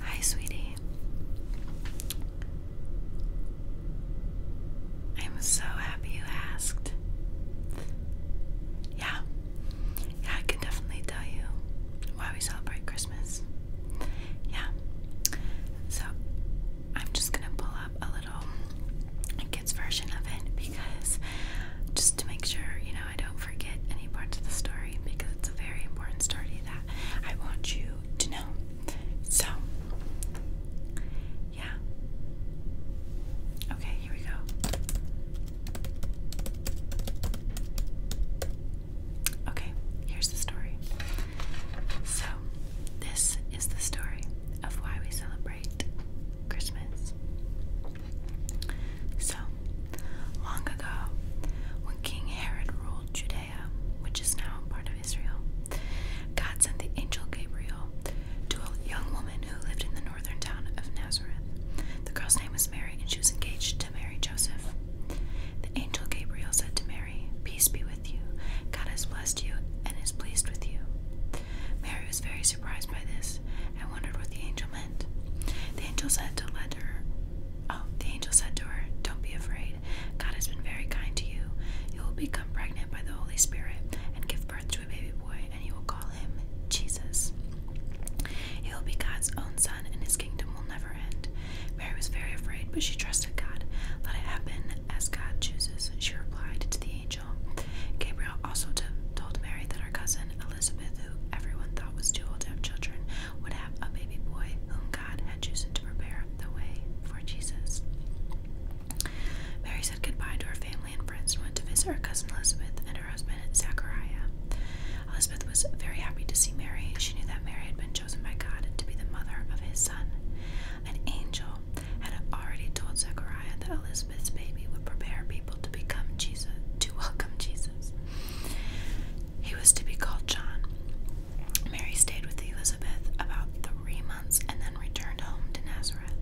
Hi, sweetie. I'm so happy you asked. Yeah, yeah, I can definitely tell you why we celebrate Christmas. Yeah, so I'm just gonna pull up a little kids' version of it because just to make sure you know I don't forget any parts of the story because it's a very important story that I want you to know. So, yeah. Okay, here we go. Okay, here's the story. So, this is the story of why we celebrate Christmas. So, long ago, when King Herod ruled Judea, which is now part of Israel, God sent the angel Gabriel to a young woman who lived in the northern town of Nazareth. The girl's name was Mary, and she was engaged to Mary Joseph. The angel Gabriel said to Mary, Peace be with you. God has blessed you and is pleased with you. Mary was very surprised by this and wondered what the angel meant. The angel said to let her Oh, the angel said to her, Don't be afraid. God has been very kind to you. You will become pregnant by the Holy Spirit and give birth to a baby boy, and you will call him Jesus. He will be God's own son, and his kingdom will never end. Mary was very afraid, but she trusted God. Let it happen as God chooses, she replied to the angel. Gabriel also told Mary that her cousin Elizabeth, who everyone thought was too old to have children, would have a baby boy whom God had chosen to prepare the way for Jesus. Mary said goodbye to her family and friends and went to visit her cousin Elizabeth and her husband Zachariah. Elizabeth was very happy to see Mary. She knew that Mary had been chosen by God to be the mother of his son. An angel had already told Zachariah that Elizabeth's baby would prepare people to become Jesus, to welcome Jesus. He was to be called John. Mary stayed with Elizabeth about three months and then returned home to Nazareth.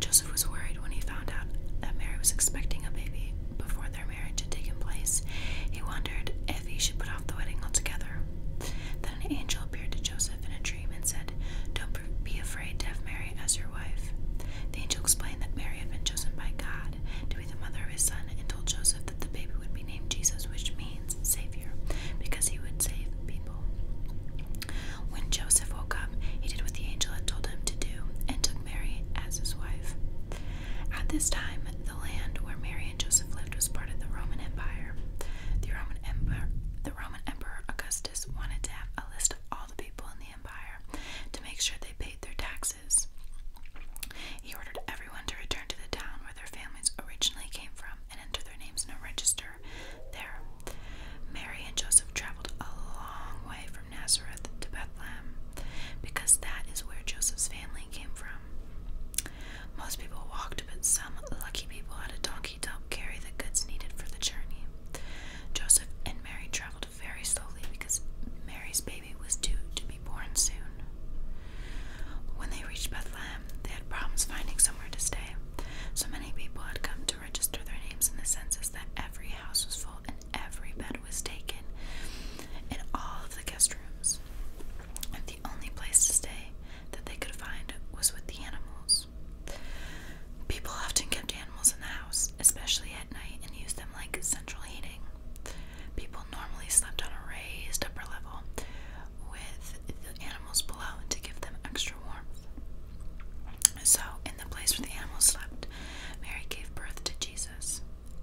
Joseph was worried when he found out that Mary was expecting a baby before their marriage had taken place. He wondered if he should put off the wedding altogether. Then an angel appeared to Joseph in a dream and said, Don't be afraid to have Mary as your wife. The angel explained that Mary had been chosen by God to be the mother of his son and told Joseph that the baby would be named Jesus, which means Savior, because he would save people. When Joseph woke up, he did what the angel had told him to do and took Mary as his wife. At this time, the land where Mary and Joseph lived was part of the Roman Empire. The Roman Emperor, Augustus wanted to have a list of all the people in the empire to make sure they paid their taxes. He ordered everyone to return to the town where their families originally came from and enter their names in a register there. Mary and Joseph traveled a long way from Nazareth to Bethlehem because that is where Joseph's family came from. Most people walked, but some lucky people had a donkey to carry the goods needed for the journey. Joseph and Mary traveled traveled very slowly because Mary's baby was due to be born soon. When they reached Bethlehem, they had problems finding somewhere to stay. So many people had come to register their names in the census that every house was full and every bed was taken in all of the guest rooms. And the only place to stay that they could find was with the animals. People often kept animals in the house, especially at night, and used them like central heating. People normally slept on a raised upper level with the animals below to give them extra warmth. So, in the place where the animals slept, Mary gave birth to Jesus,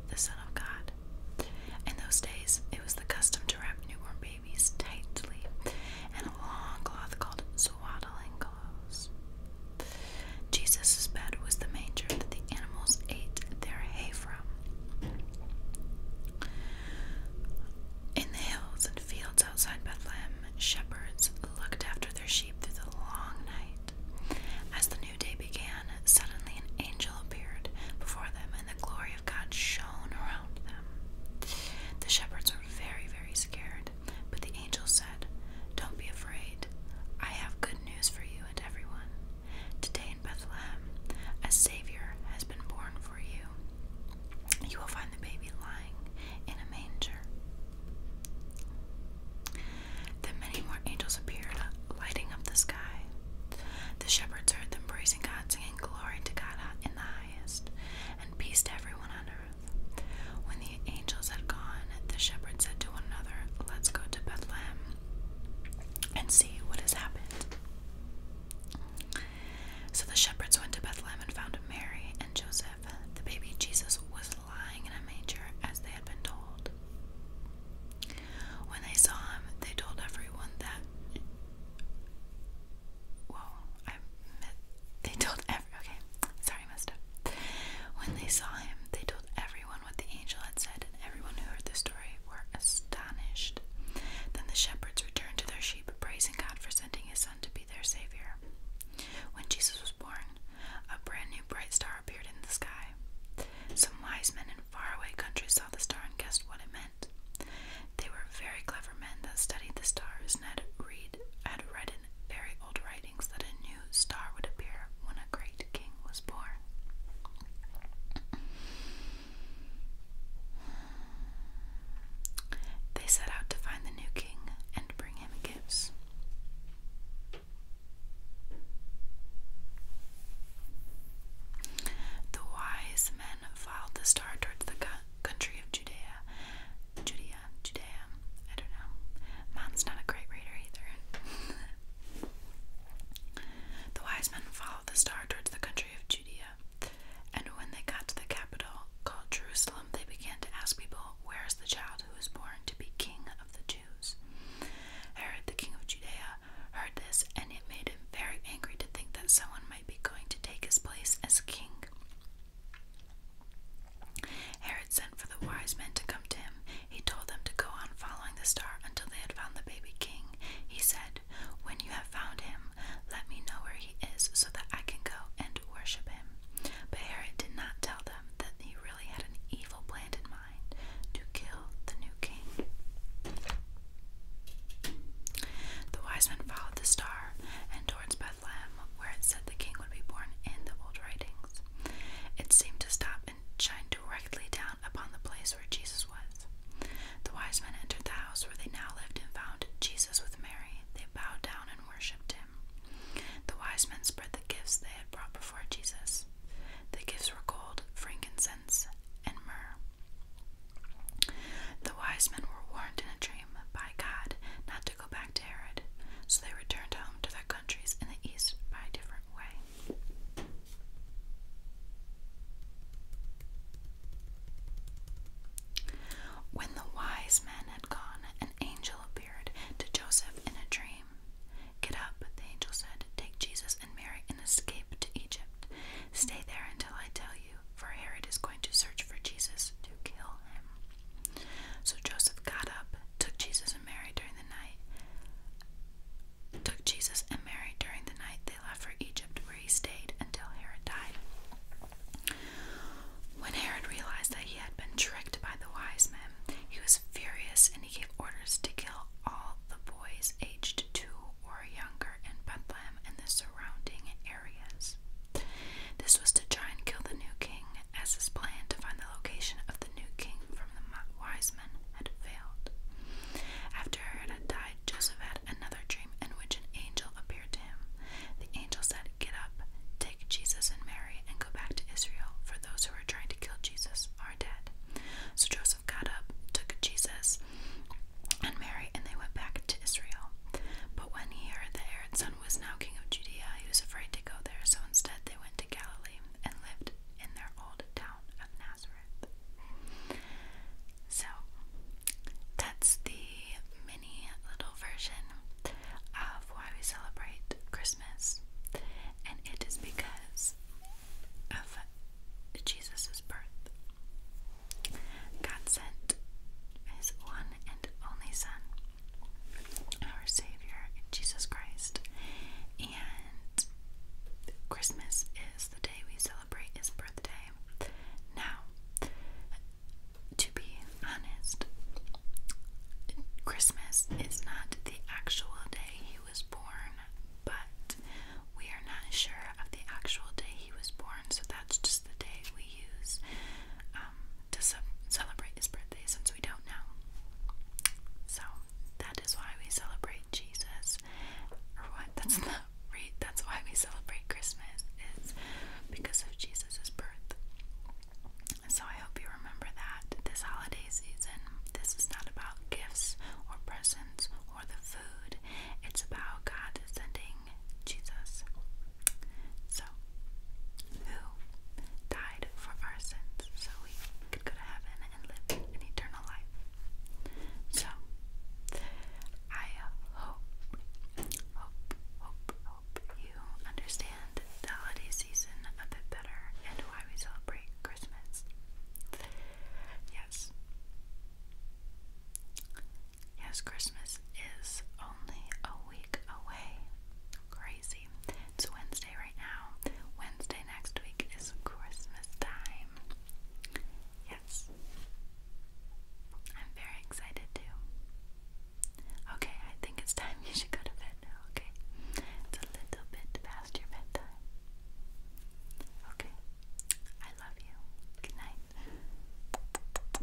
the Son of God. In those days, it was the custom to wrap newborn babies tightly in a long cloth called swaddling pillows. Jesus' bed was the manger that the animals ate their hay from. In the hills and fields outside Bethlehem, shepherds looked after their sheep through the long night. As the new day began, suddenly an angel appeared before them, and the glory of God shone around them. The shepherds were very, very scared but the angel said, Don't be afraid. I have good news for you and everyone. Today in Bethlehem, a Savior has been born for you. You will find the baby lying in a manger. Then many more angels appeared, lighting up the sky. The shepherds heard them praising God, singing, Glory to God in the highest, and peace to everyone on earth. When the angels had gone, the shepherds said to one another, Let's go to Bethlehem and see what has happened. So the shepherds went to Bethlehem and found Mary and Joseph. The baby Jesus was lying in a manger as they had been told. When they saw him, they told everyone that. Whoa, I. They told every. Okay, sorry, messed up. When they saw him, they told everyone what the angel had said, and everyone who heard the story were astonished. Then the shepherds returned to their sheep, praising God for sending his son to be their savior. When Jesus was born, a brand new bright star appeared in the sky. Some wise men in faraway countries saw the star and guessed what it meant. They were very clever men that studied the stars and had read had read very old writings that a new star would appear when a great king was born. They set out to find the new king and bring him gifts. The wise men followed the star towards the country of Judea, Judea, I don't know. Mom's not a great reader either. the wise men followed the star towards the country of Judea, and when they got to the capital called Jerusalem, they began to ask people, Where is the child who was born to be king of the Jews? Herod, the king of Judea, heard this, and it made him very angry to think that someone might be going to take his place as king. Herod sent for the wise men to come to him. He told them to go on following the star until they had found the baby king. He said, When you have found him, let me know where he is so that I can go and worship him. But Herod did not tell them that he really had an evil plan in mind to kill the new king. The wise men followed the star, and towards Bethlehem, where it said the king would be born in the old writings. It seemed to stop and shine directly down upon the place where Jesus was. The wise men entered the house where they now lived and found Jesus with Mary. They bowed down and worshipped him. The wise men spread the gifts they had brought before Jesus. The gifts were gold, frankincense, and myrrh. The wise men were warned in a dream by God not to go back to Herod, so they returned home to their countries in the east by a different way. When the wise men had gone, an angel appeared to Joseph in a dream. Get up, the angel said, take Jesus and Mary and escape to Egypt. Stay there until I tell you, for Herod is going to search for Jesus to kill him. So Joseph got up, took Jesus and Mary during the night. Took Jesus and Mary during the night. They left for Egypt, where he stayed until Herod died. When Herod realized that he had been tricked by the wise men, he was furious and he gave orders to kill all the boys aged two or younger in Bethlehem and the surrounding areas. This was to try and kill the new king, as his plan to find the location of the new king from the wise men had failed. After Herod had died, Joseph had another dream in which an angel appeared to him. The angel said, Get up, take Jesus and Mary, and go back to Israel, for those who are trying to kill Jesus are dead. So Joseph got up, took Jesus and Mary, and they went back to Israel. But when he heard the Herod's son was now king of Judea, he was afraid to go there, so instead they went to Galilee and lived in their old town of Nazareth. So, that's the mini little version of why we celebrate Christmas, and it is because of Jesus' birth. God sent his one and only Son our Savior, Jesus Christ. And Christmas is the day we celebrate his birthday. Now, to be honest, Christmas is not the actual day he was born, but we are not sure of the actual day he was born, so that's just the day we use um, to celebrate his birthday since we don't know. So that is why we celebrate Jesus, or what? That's not right. That's why we celebrate Christmas is because of Jesus's birth. So I hope you remember that this holiday season, this is not about gifts or presents or the food. It's about God descending. Jesus. So, who died for our sins so we could go to heaven and live an eternal life. So, I hope, hope, hope, hope you understand the holiday season a bit better and why we celebrate Christmas. Yes. Yes, Christmas is only a week away. Crazy. It's Wednesday right now. Wednesday next week is Christmas time. Yes. I'm very excited too. Okay, I think it's time you should go to bed okay? It's a little bit past your bedtime. Okay. I love you. Good night.